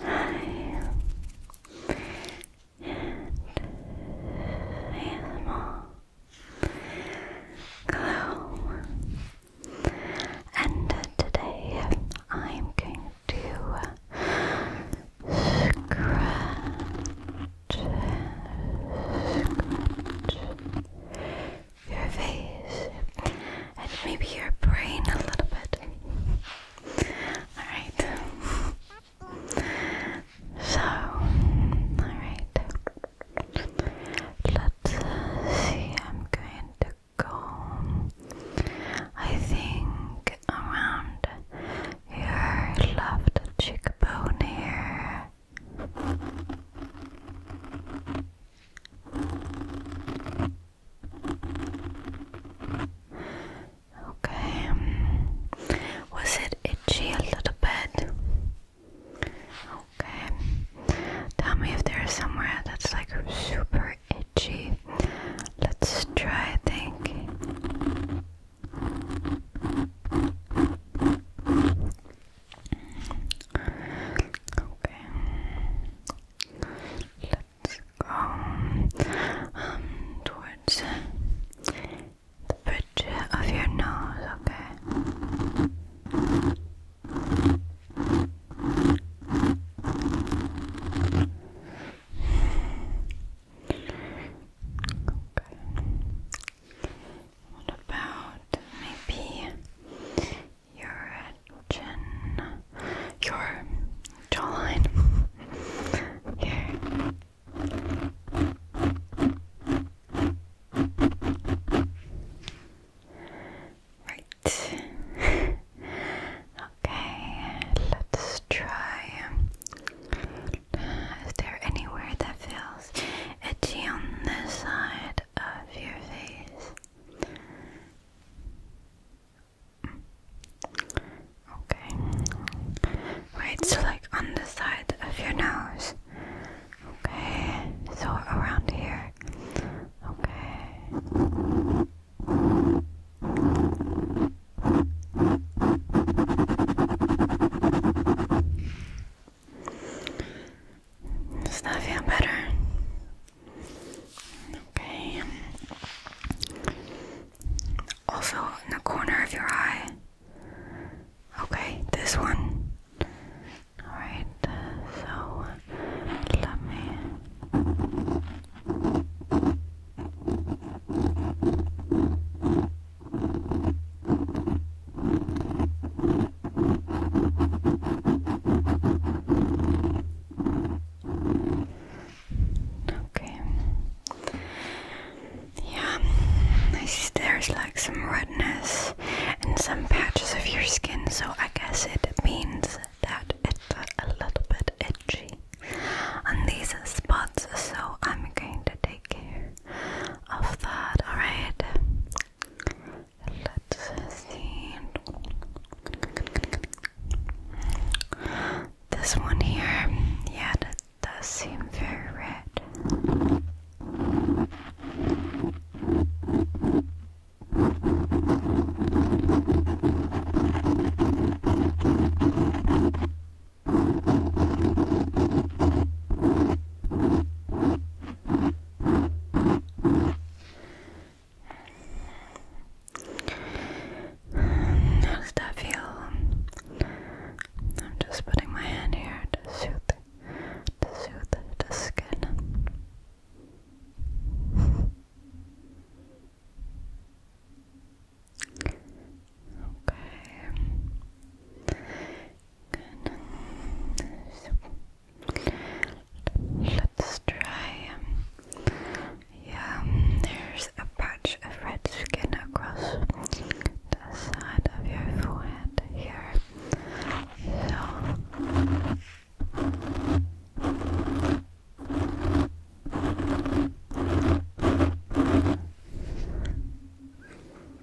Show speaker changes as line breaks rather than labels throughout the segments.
Hi, and Hello, and today I'm going to scratch, your face and maybe your brain a little bit. Alright. So, alright. Let's see. I'm going to go, I think, around your left cheekbone here. Okay. Was it itchy a little bit? Okay. Tell me if there's somewhere that's like super itchy. Let's try, I think. Okay. Let's go um, towards the bridge of your nose, okay? Okay. What about maybe your chin, your jawline. Here. Right. okay, let's try. is there anywhere that feels itchy on this side? of your face. Okay. Right, so like on the side of your nose. Okay, so around here. Okay. Does that feel better? Okay. Also the corner of your eye. Okay, this one. Alright, so let me. Okay. Yeah, I see there's like some redness and some patches of your skin, so I guess it means that it's a little bit itchy on these spots, so I'm going to take care of that, alright? Let's see. This one here, yeah, that does seem very red. How that feel? I'm just putting my hand here to soothe, to soothe the skin. Okay. Let's try. Um, yeah, there's a patch of red skin across the side of your forehead here. So.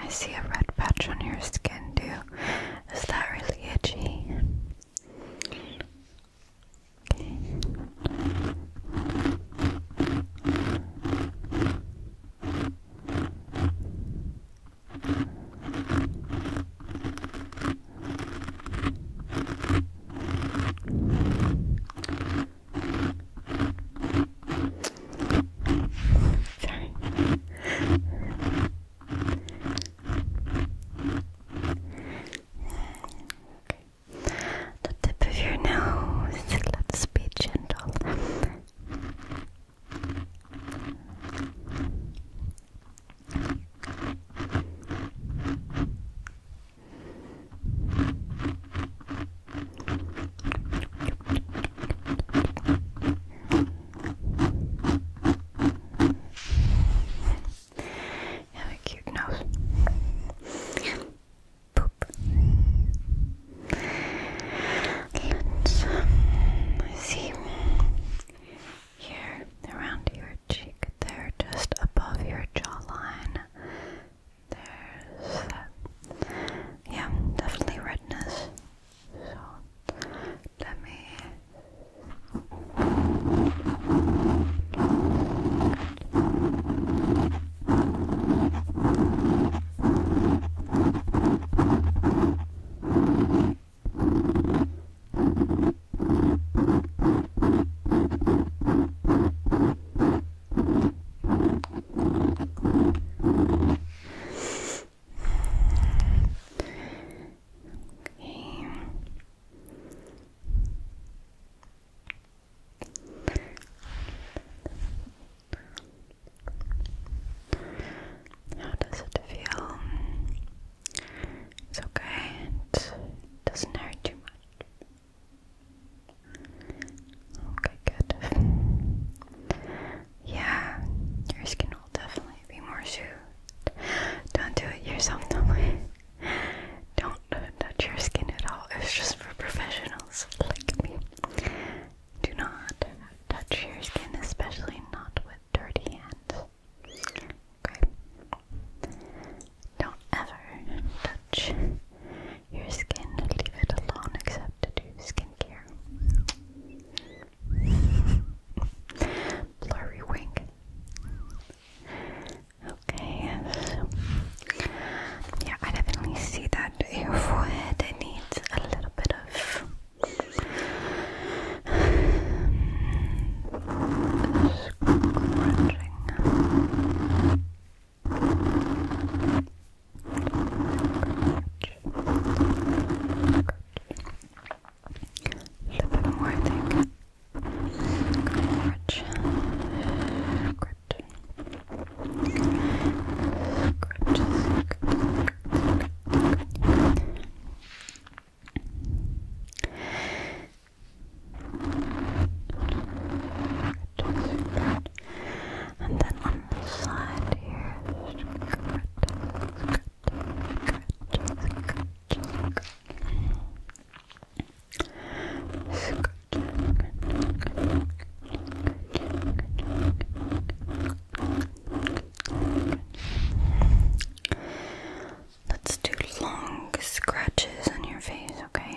I see a red patch on your skin too. Is that really itchy? Sorry. The tip of your nose. Let's be gentle. You have a cute nose. Boop. Um, let's see here around your cheek there, just above your jawline there's uh, Yeah, definitely redness. So let me. Okay. How does it feel? It's okay. doesn't hurt too much. Okay, good. Yeah, your skin will definitely be more soothed. Don't do it yourself, don't Don't touch your skin at all. It's just for professionals like me. Do not touch your skin, especially not with dirty hands. Okay. Don't ever touch your skin, leave it alone except to do skincare. Blurry wig. Okay, yeah, I definitely see that your forehead needs a little bit of um, little bit more, I think. Crutch. Crutch. And then on the side here, Let's do long scratches on your face, okay?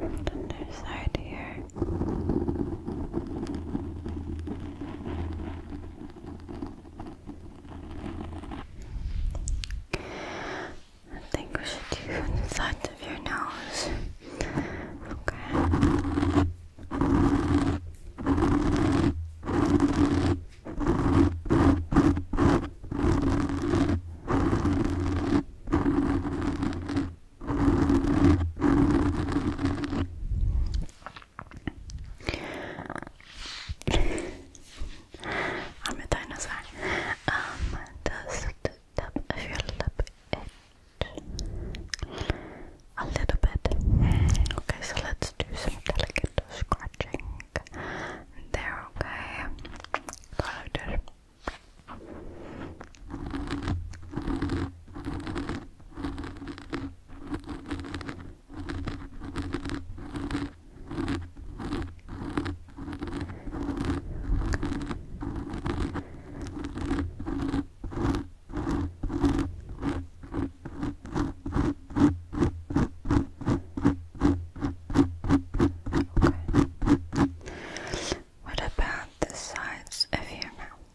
And underside here. I think we should do the sides of your nose. Okay. I'm a dinosaur. Um, just tap of your lip a little bit. Okay, so let's do some delicate scratching there. Okay, go like what about the sides of your mouth?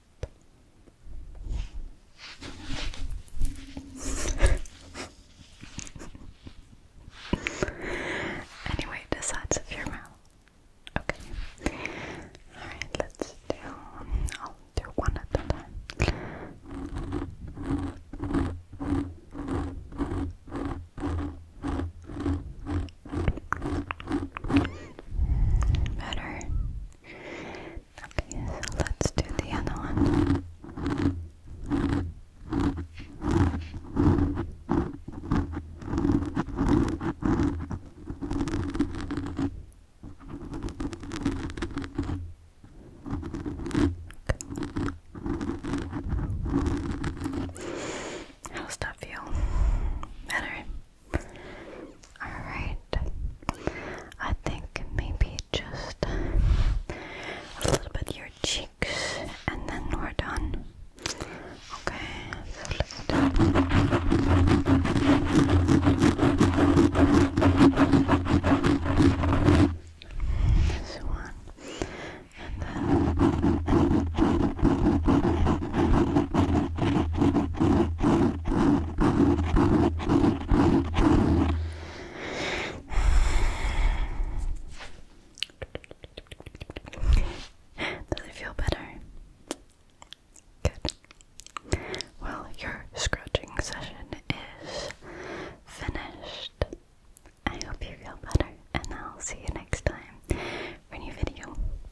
anyway, the sides of your mouth. Okay. Alright, let's do I'll do one at a time. Better. Okay, so let's do the other one. How's that feel? Better. Alright. I think maybe just a little bit your cheeks and then we're done. Okay, so let's do this one. And then does it feel better? Good. Well, your scratching session is finished. I hope you feel better, and I'll see you next time for a new video.